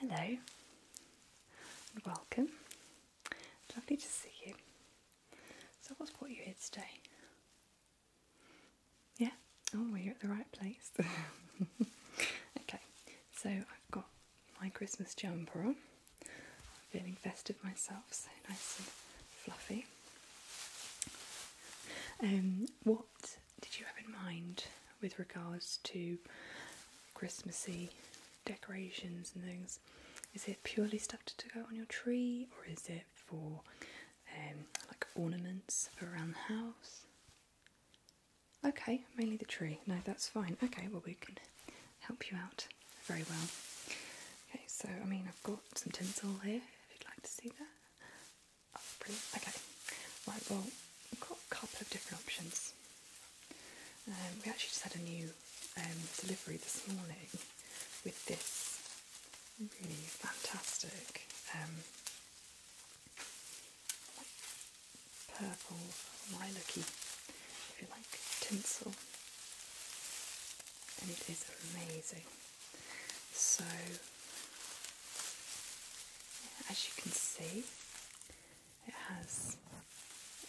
Hello and welcome. Lovely to see you. So, what's brought you here today? Yeah? Oh, well, you're at the right place. okay, so I've got my Christmas jumper on. I'm feeling festive myself, so nice and fluffy. Um, what did you have in mind with regards to Christmassy decorations and things? Is it purely stuff to go on your tree, or is it for um, like ornaments for around the house? Okay, mainly the tree. No, that's fine. Okay, well, we can help you out very well. Okay, so I mean, I've got some tinsel here if you'd like to see that. Oh, brilliant. Okay, right, well, we've got a couple of different options. Um, we actually just had a new um, delivery this morning with this really fantastic um, purple lilac if you like, tinsel and it is amazing. So, as you can see, it has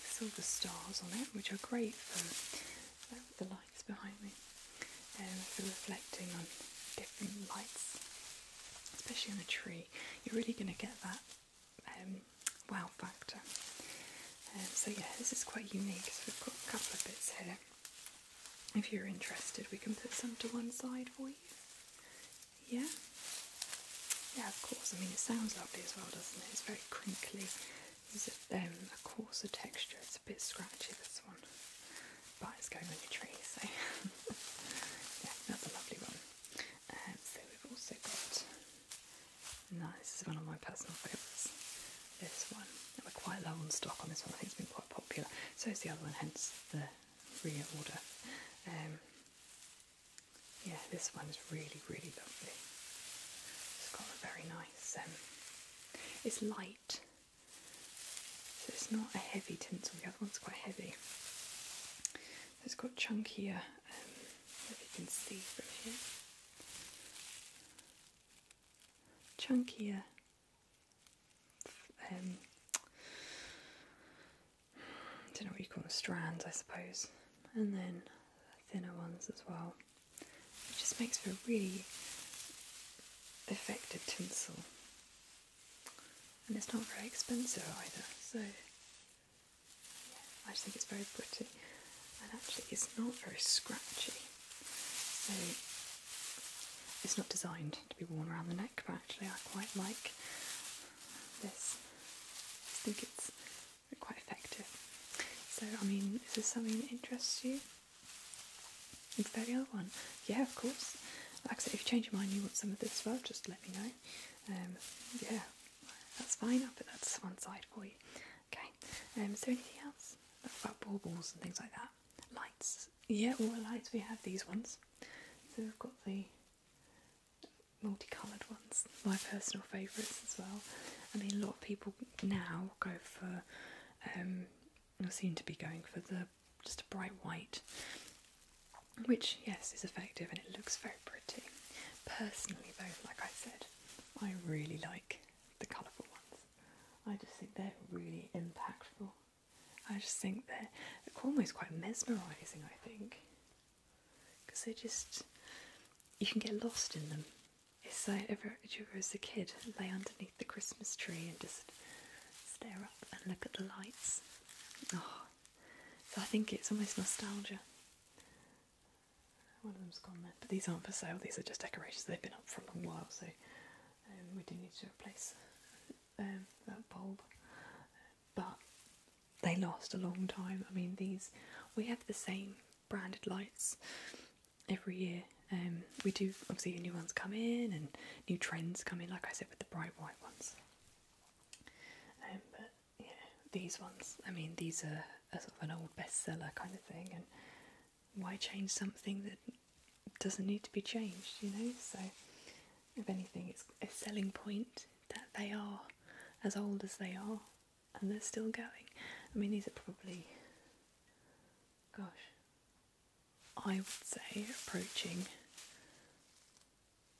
silver stars on it, which are great for um, the lights behind me and for reflecting on different lights, especially on a tree. You're really going to get that um, wow factor. Um, so yeah, this is quite unique. So we've got a couple of bits here. If you're interested, we can put some to one side for you. Yeah. Yeah, of course. I mean, it sounds lovely as well, doesn't it? It's very crinkly. There's a, um, coarser texture. It's a bit scratchy, this one. But it's going on your tree, so... yeah, that's a lovely one. so we've also got this is one of my personal favourites. This one. we're quite low on stock on this one. I think it's been quite popular. So is the other one, hence the reorder. Um, yeah, this one is really, really lovely. It's got a very nice, um, it's light. So it's not a heavy tinsel, the other one's quite heavy. It's got chunkier, um, if you can see from here chunkier um, I don't know what you call them, strands, I suppose, and then thinner ones as well. It just makes for a really effective tinsel, and it's not very expensive either, so I just think it's very pretty and actually it's not very scratchy. So it's not designed to be worn around the neck, but actually I quite like this. I think it's quite effective. So I mean, is this something that interests you? It's that the other one? Yeah, of course. Like I said, if you change your mind, you want some of this as well, just let me know. Um, yeah, that's fine. I'll put that to one side for you. Okay. Um, is there anything else about baubles and things like that? Lights. Yeah, all the lights we have these ones. So we've got the multicoloured ones, my personal favourites as well. I mean, a lot of people now go for, um, or seem to be going for the just a bright white, which yes is effective and it looks very pretty. Personally, though, like I said, I really like the colourful ones. I just think they're really impactful. I just think they're almost quite mesmerising, I think. Because they just, you can get lost in them. If I ever, you ever as a kid, lay underneath the Christmas tree and just stare up and look at the lights. Oh, I think it's almost nostalgia. One of them's gone but these aren't for sale. These are just decorations. They've been up for a long while, so um, we do need to replace um, that bulb. But they last a long time. I mean, these we have the same branded lights every year. Um, we do obviously new ones come in and new trends come in, like I said with the bright white ones you these ones. I mean, these are, are of an old bestseller kind of thing, and why change something that doesn't need to be changed, you know? So, if anything, it's a selling point that they are as old as they are and they're still going. I mean, these are probably, gosh, I would say approaching,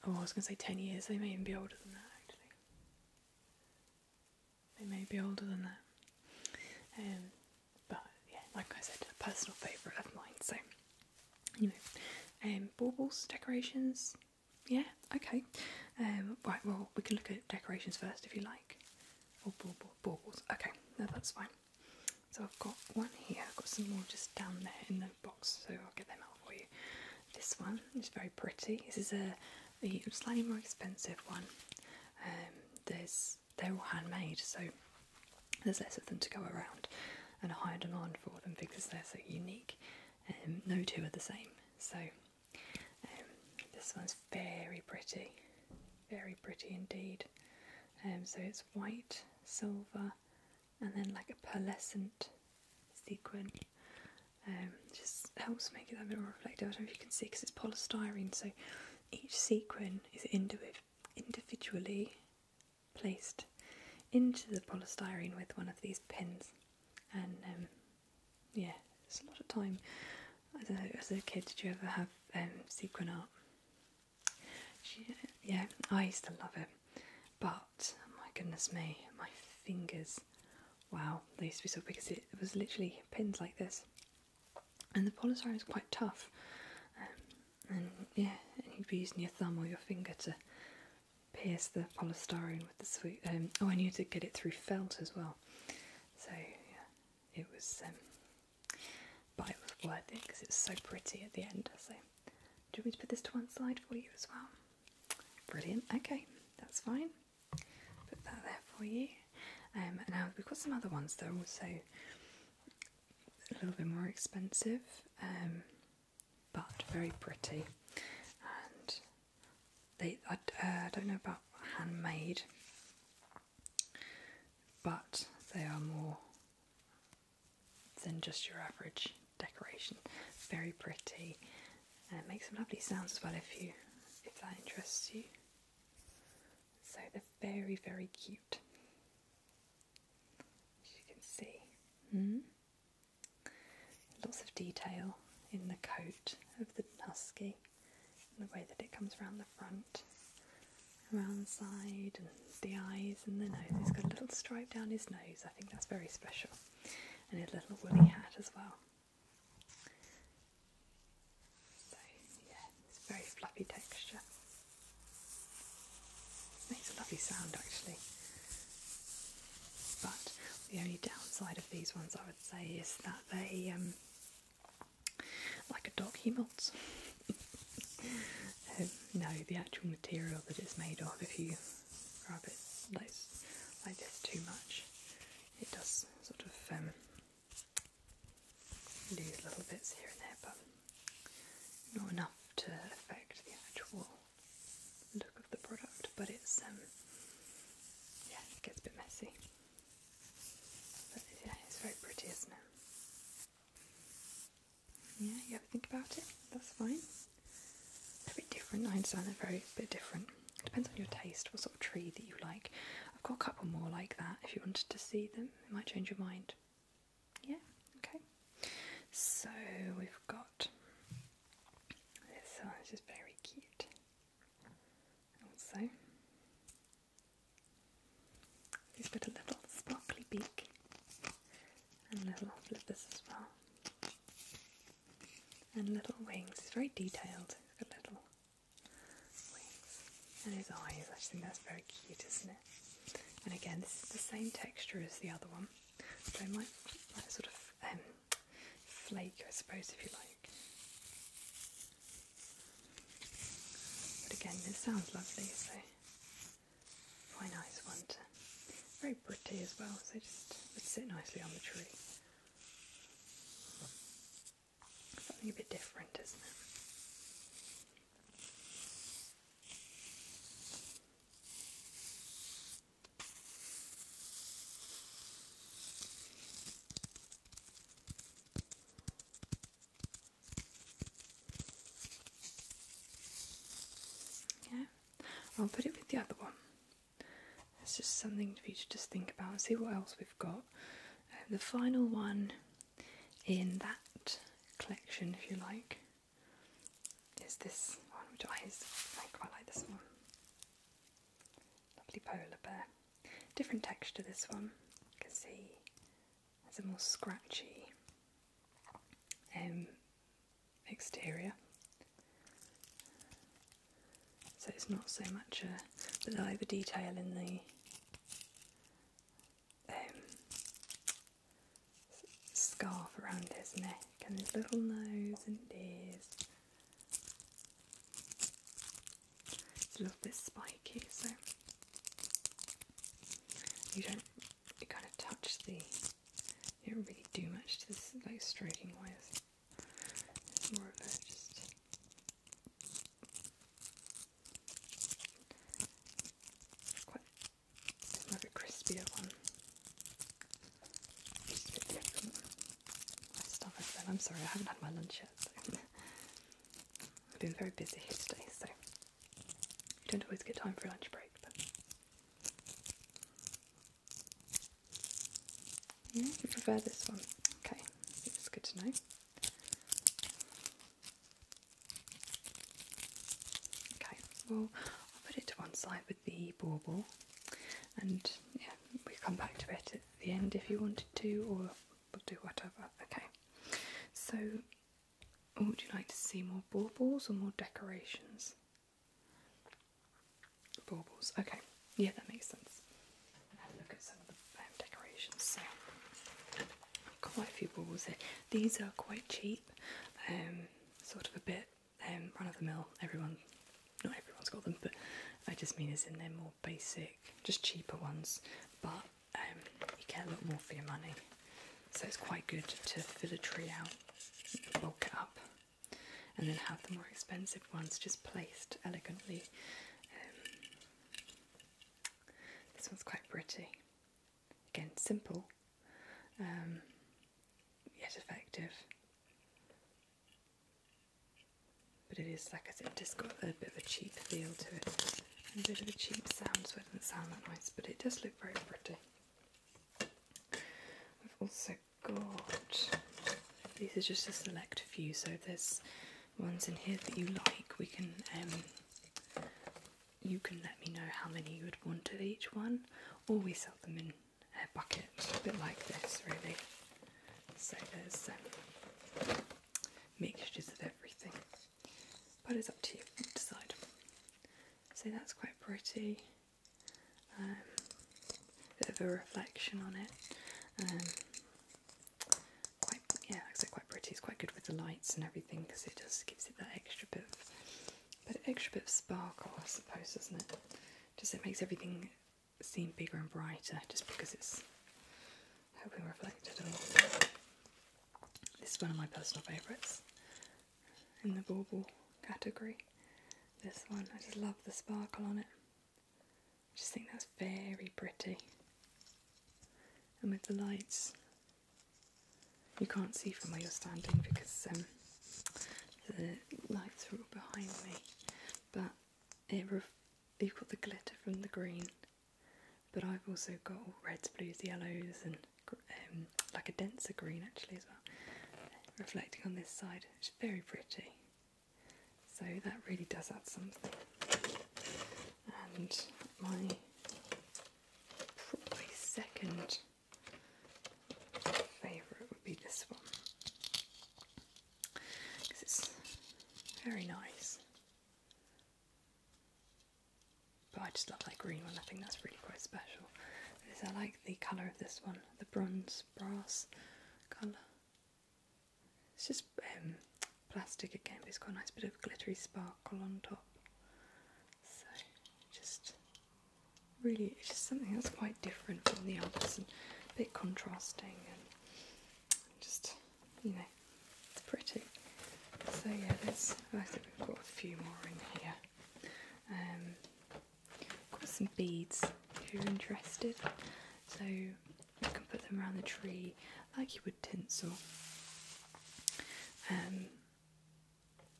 oh, I was going to say 10 years, they may even be older than that actually. They may be older than that. Um, but yeah, like I said, a personal favourite of mine. So anyway, um, baubles, decorations. Yeah, okay. Um, right, well, we can look at decorations first if you like. Or baubles. Okay, no, that's fine. So I've got one here. I've got some more just down there in the box, so I'll get them out for you. This one is very pretty. This is a a slightly more expensive one. Um, there's they're all handmade, so there's less of them to go around, and a higher demand for them because they're so unique. Um, no two are the same. So um, this one's very pretty, very pretty indeed. so it's white, silver, and then like a pearlescent sequin um, just helps make it a bit more reflective. I don't know if you can see because it's polystyrene, so each sequin is individually placed into the polystyrene with one of these pins. And um, yeah, it's a lot of time. I don't know, as a kid, did you ever have um, sequin art? yeah, I used to love it, but my goodness me, my fingers Wow, they used to be so big because it was literally pins like this. And the polystyrene is quite tough. Um, and yeah, and you'd be using your thumb or your finger to pierce the polystyrene with the sweet. Um, oh, and you had to get it through felt as well. So yeah, it was. Um, but it was worth it because it's so pretty at the end. So, do you want me to put this to one side for you as well? Brilliant. Okay, that's fine. Put that there for you. Um, now we've got some other ones that are also a little bit more expensive, um, but very pretty. And they, uh, I don't know about handmade, but they are more than just your average decoration. Very pretty and it makes some lovely sounds as well if you if that interests you. So they're very very cute, as you can see. Hmm? Lots of detail in the coat of the husky, the way that it comes around the front, around the side, and the eyes and the nose. He's got a little stripe down his nose. I think that's very special, and his little woolly hat as well. So yeah, it's very fluffy texture. Makes a lovely sound actually. But the only downside of these ones I would say is that they um, like a dog he molts. Um, no, the actual material that it's made of if you grab it like, this too much. It does sort of um, lose little bits here and there, but not enough to affect the actual look of the product. But it's um, yeah, gets a bit messy. But yeah, it's very pretty, isn't it? Yeah, you ever think about it? That's fine a bit different. I understand they're very bit different. It depends on your taste, what sort of tree that you like. I've got a couple more like that. If you wanted to see them, it might change your mind. Yeah, okay. So we've got this one, which is very cute. Also, he's got a little sparkly beak and little flippers as well and little wings. It's very detailed. little wings and his eyes. I think that's very cute, isn't it? And again, this is the same texture as the other one, so it might like sort of um, flake, I suppose, if you like. But again, this sounds lovely, so quite nice one. very pretty as well, so just would sit nicely on the tree. Something a bit different, isn't it? Yeah, I'll put it with the other one. It's just something for you to just think about and see what else we've got. the final one in that collection, if you like, is this one, which I, quite like this one. Lovely polar bear. Different texture this one. You can see it's a more scratchy um, exterior. So it's not so much a, but like the detail in the um, scarf around his neck and his little nose and ears. It's a little bit spiky, so you don't you kind of touch the you don't really do much to this like stroking wise. It's more of a just quite more of a crispier one. I'm sorry, I haven't had my lunch yet. I've been very busy here today, so you don't always get time for a lunch break, yeah, you prefer this one. Okay, it's good to know. Okay, well, I'll put it to one side with the bauble, and yeah, we come back to it at the end if you wanted to, or we'll do whatever. Okay, so would you like to see more baubles or more decorations? Baubles. Okay, yeah, that makes sense. look at some of the um, decorations. quite a few baubles here. These are quite cheap, um, sort of a bit um, run of the mill. Everyone, not everyone's got them, but I just mean as in they more basic, just cheaper ones, but um, you get a lot more for your money. So it's quite good to fill a tree out, bulk it up and then have the more expensive ones just placed elegantly. Um, this one's quite pretty. Again, simple, um, yet effective. But it is, like I said, it just got a bit of a cheap feel to it. a bit of a cheap sound, so it doesn't sound that nice, but it does look very pretty. We've also got these are just a select few, so there's ones in here that you like, we can um, you can let me know how many you would want of each one, or we sell them in a bucket, a bit like this, really. So there's um, mixtures of everything, but it's up to you to decide. So that's quite pretty um, bit of a reflection on it. Um, quite, yeah, like quite pretty. It's quite good with the lights and everything because it just gives it that extra bit of, extra bit of sparkle, I suppose, doesn't it? Just it makes everything seem bigger and brighter just because it's helping reflect it a This is one of my personal favourites in the bauble category. This one, I just love the sparkle on it. I just think that's very pretty. And with the lights, you can't see from where you're standing because um, the lights are all behind me. But it you've got the glitter from the green, but I've also got all reds, blues, yellows, and um, like a denser green actually as well, reflecting on this side very pretty. So that really does add something. And my second favourite would be this one. Because it's very nice. But I just love that green one. I think that's really quite special. This, I like the colour of this one, the bronze brass colour. It's just um, plastic again, but it's got a nice bit of glittery sparkle on top. So just really, it's just something that's quite different from the others and a bit contrasting and just, you know, it's pretty. So yeah, there's, I think we've got a few more in here. Um, Got some beads if you're interested. So you can put them around the tree like you would tinsel. Um,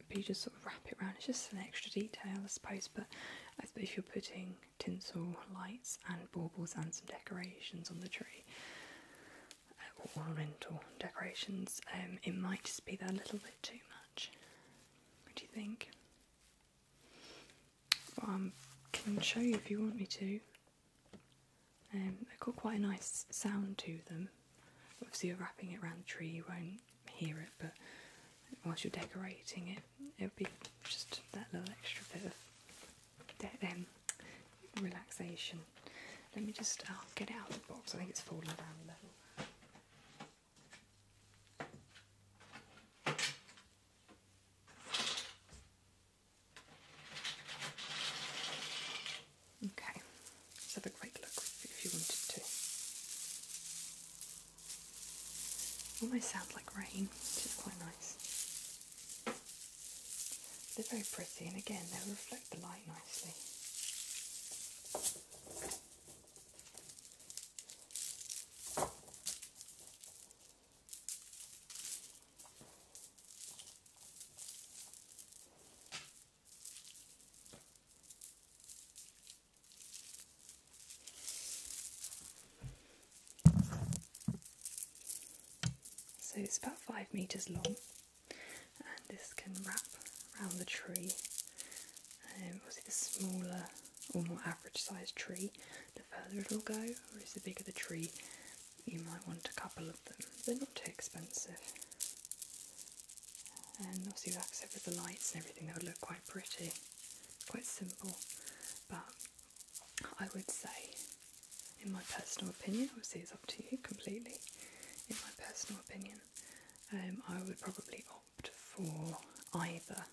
but you just sort of wrap it around. It's just an extra detail, I suppose. But if you're putting tinsel lights and baubles and some decorations on the tree, uh, or ornamental decorations. Um, it might just be that a little bit too much. What do you think? I um, can show you if you want me to. Um, they've got quite a nice sound to them. Obviously, you're wrapping it around the tree, you won't hear it, but once you're decorating it, it would be just that little extra bit of um, relaxation. Let me just get it out of the box. I think it's falling down a little. Okay, let's have a quick look if you wanted to. Almost sounds like rain, which is quite nice. They're very pretty, and again, they reflect the light nicely. So it's about five meters long, and this can wrap around the tree. Um, obviously, the smaller or more average sized tree, the further it'll go, or is the bigger the tree, you might want a couple of them. They're not too expensive. And obviously, like I said, with the lights and everything, they would look quite pretty. Quite simple, but I would say, in my personal opinion, obviously it's up to you completely. In my personal opinion, um, I would probably for either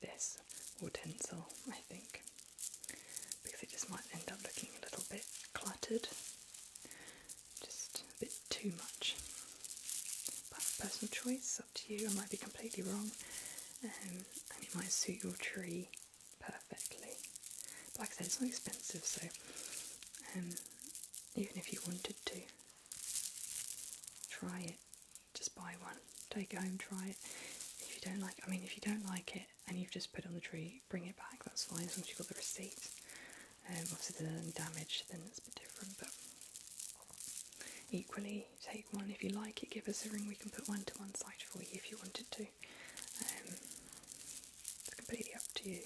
this or tinsel, I think, because it just might end up looking a little bit cluttered, just a bit too much. But personal choice, up to you, I might be completely wrong, um, and it might suit your tree perfectly. But like I said, it's not expensive, so um, even if you wanted to, try it just buy one, take it home, try it. If you don't like, I mean, if you don't like it and you've just put it on the tree, bring it back. That's fine as long as you've got the receipt. Um, obviously, there's any damage, then it's a bit different. But equally, take one if you like it. Give us a ring. We can put one to one side for you if you wanted to. Um, it's completely up to you.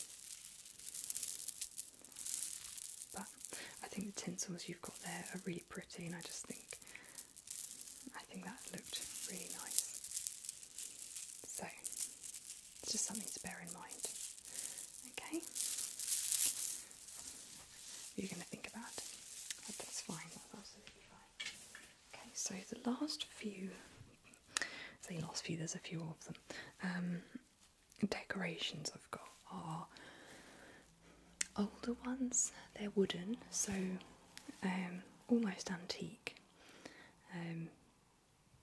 But I think the tinsels you've got there are really pretty, and I just think I think that looked really nice. So it's just something to bear in mind. Okay, you're going to think about. It. Oh, that's fine. Okay, so the last few. the last few. There's a few of them. Um, decorations I've got are older ones. They're wooden, so um, almost antique. Um,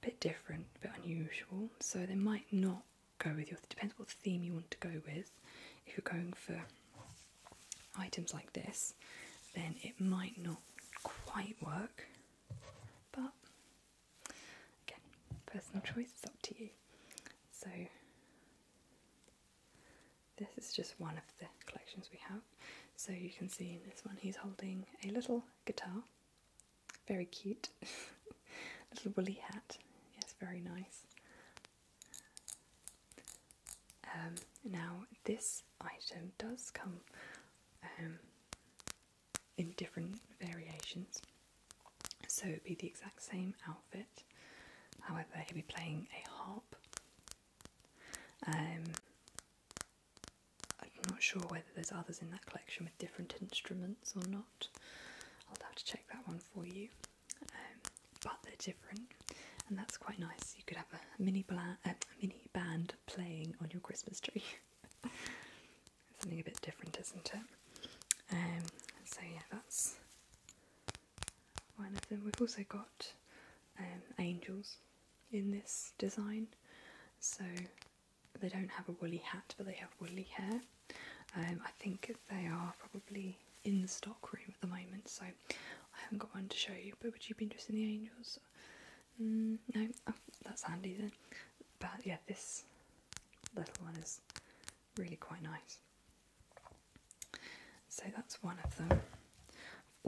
bit different, a bit unusual. So they might not go with your. Depends what theme you want to go with. If you're going for items like this, then it might not quite work. But again, personal choice is up to you. So this is just one of the collections we have. So you can see in this one he's holding a little guitar, very cute, little woolly hat, yes, very nice. Um, now this item does come um, in different variations. So it'd be the exact same outfit, however, he'd be playing a harp. Um, I'm not sure whether there's others in that collection with different instruments or not. I'll have to check that one for you. Um, but they're different, and that's quite nice. You could have a mini band playing on your Christmas tree. something a bit different, isn't it? Um, so yeah, that's one of them. We've also got um, angels in this design, so they don't have a woolly hat, but they have woolly hair. Um, I think they are probably in the stock room at the moment, so I haven't got one to show you. But would you be interested in the angels? Mm, no, oh, that's handy then. But yeah, this little one is really quite nice. So that's one of them. I've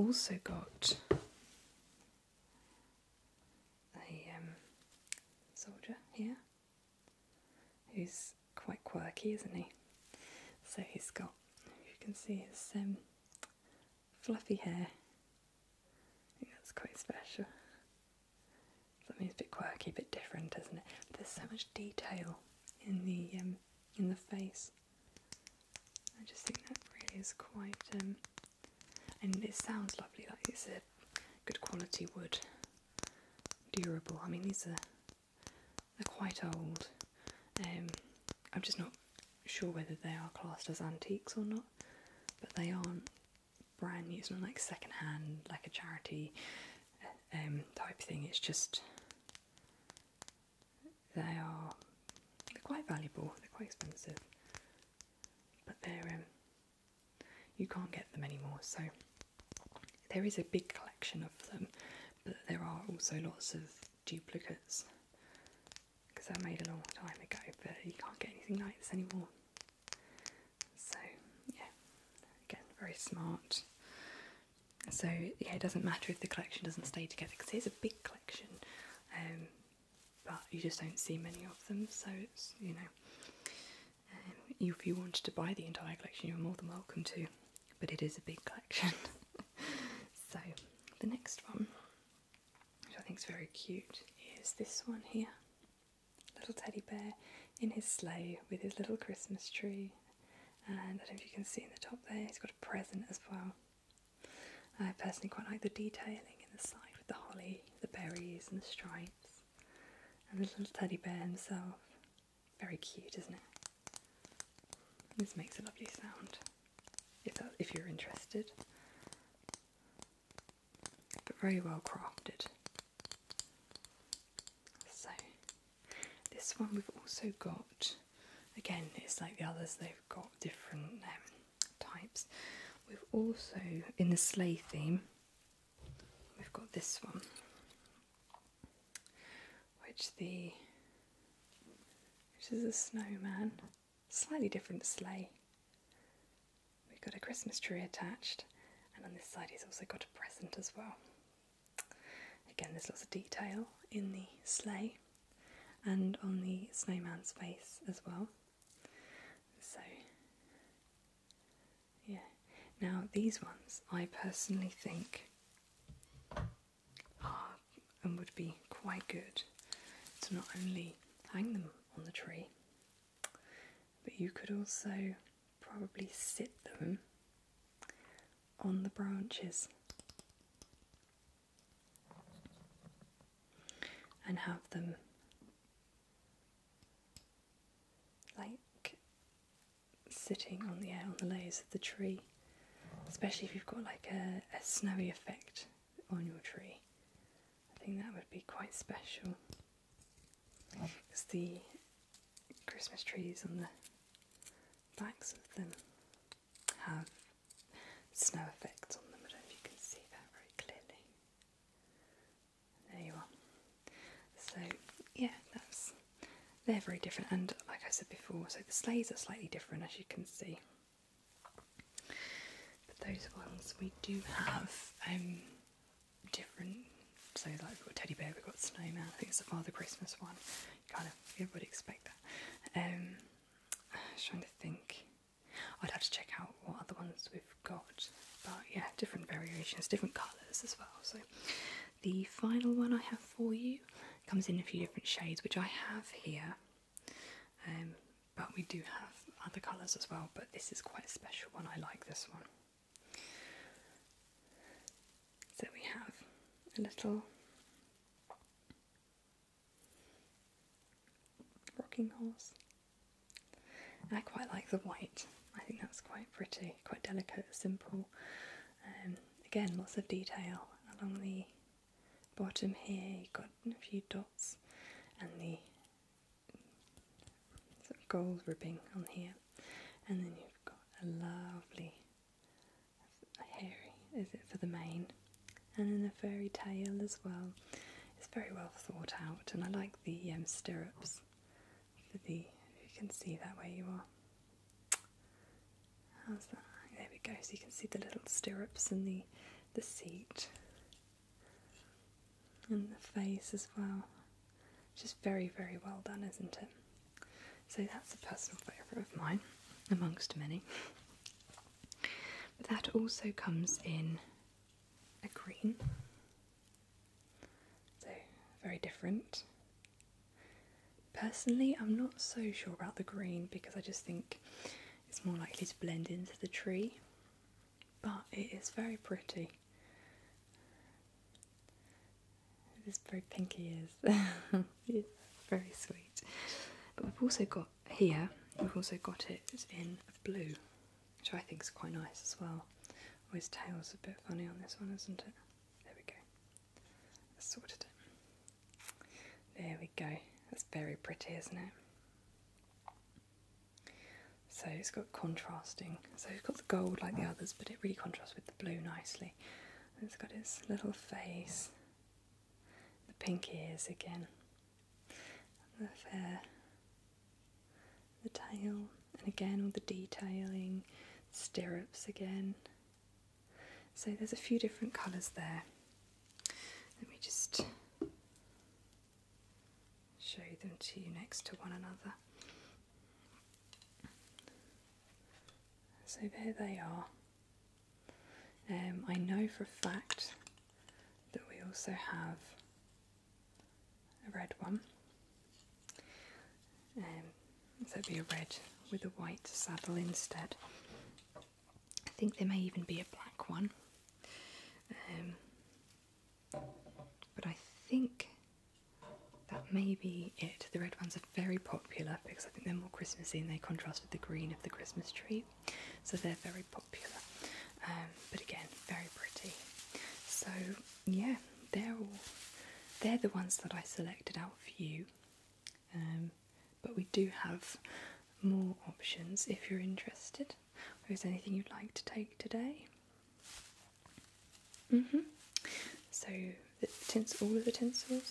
also got a um, soldier here who's quite quirky, isn't he? So he's got, you can see his um, fluffy hair. I think that's quite special. Something's a bit quirky, a bit different, isn't it? there's so much detail in the um, in the face. I just think that really is quite, um, and it sounds lovely. Like it's a good quality wood, durable. I mean, these are they're quite old. Um, I'm just not sure whether they are classed as antiques or not, but they aren't brand new, it's not like secondhand, like a charity um, type thing. It's just they are quite valuable. They're quite expensive, but they're um, you can't get them anymore. So there is a big collection of them, but there are also lots of duplicates because I made a long time ago. But you can't get anything like this anymore. So yeah, again, very smart. So yeah, it doesn't matter if the collection doesn't stay together because it's a big collection, um, but you just don't see many of them. So it's you know, um, if you wanted to buy the entire collection, you're more than welcome to, but it is a big collection. so the next one, which I think is very cute, is this one here little teddy bear in his sleigh with his little Christmas tree. And I don't know if you can see in the top there, he's got a present as well. I personally quite like the detailing in the side with the holly, the berries, and the stripes. And the little teddy bear himself. Very cute, isn't it? This makes a lovely sound, if, if you're interested. But very well crafted. So this one we've also got, again it's like the others, they've got different um, types. We've also, in the sleigh theme, we've got this one, which the which is a snowman, slightly different sleigh. We've got a Christmas tree attached, and on this side he's also got a present as well. Again, there's lots of detail in the sleigh and on the snowman's face as well. So, yeah. Now, these ones I personally think are and would be quite good to not only hang them on the tree, but you could also probably sit them on the branches and have them like sitting on the on the layers of the tree especially if you've got like a snowy effect on your tree i think that would be quite special because the Christmas trees on the backs of them have snow effects on them. I don't know if you can see that very clearly. There you are. So yeah, that's they're very different and like I said before, so the sleighs are slightly different as you can see. But those ones we do have um different. So like we got teddy bear, we've got snowman. I think it's the Father Christmas one. kind of everybody expect that. Um, I was trying to think. I'd have to check out what other ones we've got. But yeah, different variations, different colours as well. So the final one I have for you comes in a few different shades, which I have here. Um, but we do have other colours as well. But this is quite a special one. I like this one. So we have a little rocking horse. I quite like the white. I think that's quite pretty, quite delicate, simple. Um, again, lots of detail along the bottom here. You've got a few dots and the sort of gold ribbing on here, and then you've got a lovely hairy, is it for the mane, and then a furry tail as well. It's very well thought out, and I like the um, stirrups for the. you can see that way you are. How's that? There we go. So you can see the little stirrups and the the seat. In the face as well. Just very, very well done, isn't it? So that's a personal favourite of mine, amongst many. But that also comes in a green, so very different. Personally, I'm not so sure about the green because I just think it's more likely to blend into the tree but it is very pretty. This very pinky ears. yes, very sweet. But we've also got here, we've also got it in blue, which I think is quite nice as well. Oh, tail tail's a bit funny on this one, isn't it? There we go. sorted it. There we go. That's very pretty, isn't it? So it's got contrasting. So it's got the gold like the others, but it really contrasts with the blue nicely. it's got its little face, the pink ears again, the fair, the tail, and again all the detailing, stirrups again. So there's a few different colours there. Let me just show them to you next to one another. So there they are. Um, I know for a fact that we also have a red one. Um, so it'd be a red with a white saddle instead. I think there may even be a black one. Um, but I think that may be it. The red ones are very popular because I think they're more Christmassy and they contrast with the green of the Christmas tree. So they're very popular. Um, but again, very pretty. So yeah, they're all they're the ones that I selected out for you. Um, but we do have more options if you're interested. Or is anything you'd like to take today? Mm -hmm. So the tints, all of the tinsels.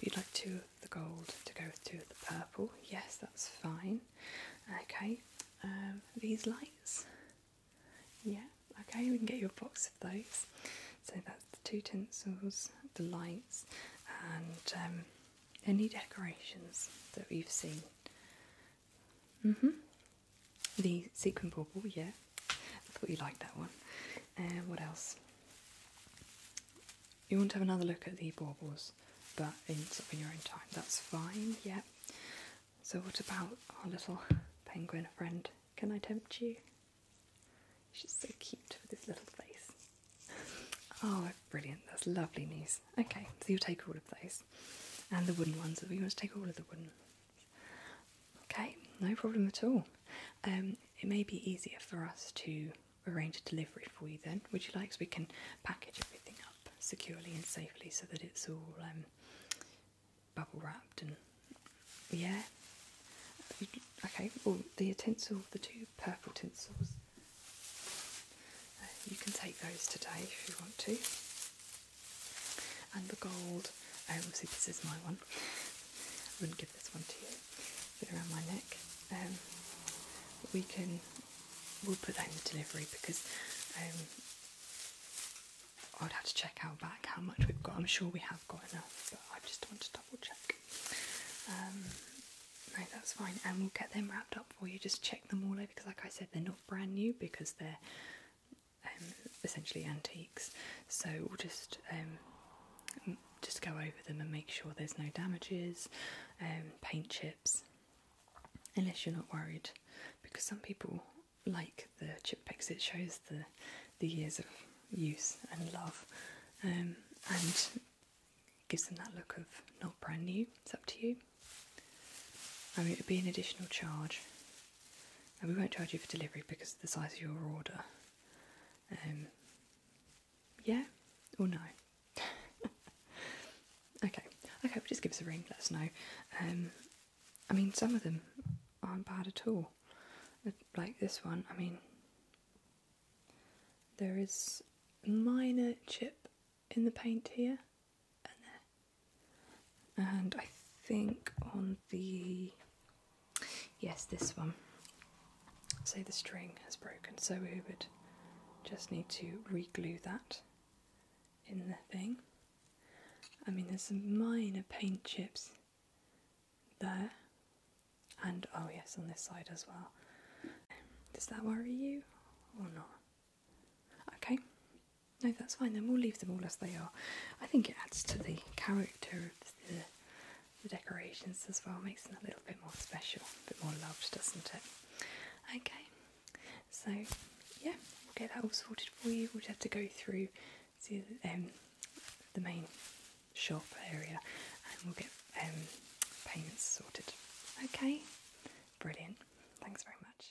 you'd like two of the gold to go with two of the purple. Yes, that's fine. Okay. Um, these lights. Yeah. Okay, we can get you a box of those. So that's the two tinsels, the lights, and um, any decorations that we've seen hmm The sequin bauble, yeah. I thought you liked that one. And uh, what else? You want to have another look at the baubles, but in, your own time. That's fine, yeah. So what about our little penguin friend? Can I tempt you? She's so cute with this little face. Oh, brilliant. That's lovely news. Okay, so you'll take all of those. And the wooden ones. We want to take all of the wooden Okay, no problem at all. Um, it may be easier for us to arrange a delivery for you then. Would you like so we can package everything up securely and safely so that it's all um, bubble wrapped and yeah. Okay, well the utensil, the two purple tinsels, uh, you can take those today if you want to. And the gold, oh, obviously this is my one. I wouldn't give this one to you. Put around my neck. Um, we can, we'll put that in the delivery because um, I'd have to check out back how much we've got. I'm sure we have got enough, but I just want to double check. Um, no, that's fine, and we'll get them wrapped up for you. Just check them all over because, like I said, they're not brand new because they're um, essentially antiques. So we'll just um, just go over them and make sure there's no damages, um, paint chips, unless you're not worried, because some people like the chip picks. It shows the the years of use and love, and gives them that look of not brand new. It's up to you. I mean, it would be an additional charge, and we won't charge you for delivery because of the size of your order. Um, yeah or no? okay, okay, well just give us a ring, let us know. Um, I mean, some of them aren't bad at all, uh, like this one. I mean, there is minor chip in the paint here and I think on the yes, this one. Say the string has broken, so we would just need to reglue that in the thing. I mean, there's some minor paint chips there, and oh yes, on this side as well. Does that worry you or not? Okay, no, that's fine. Then we'll leave them all as they are. I think it adds to the character of the, decorations as well. Makes them a little bit more special, a bit more loved, doesn't it? Okay, so yeah, we'll get that all sorted for you. We'll just have to go through to um, the main shop area, and we'll get um, payments sorted. Okay, brilliant. Thanks very much.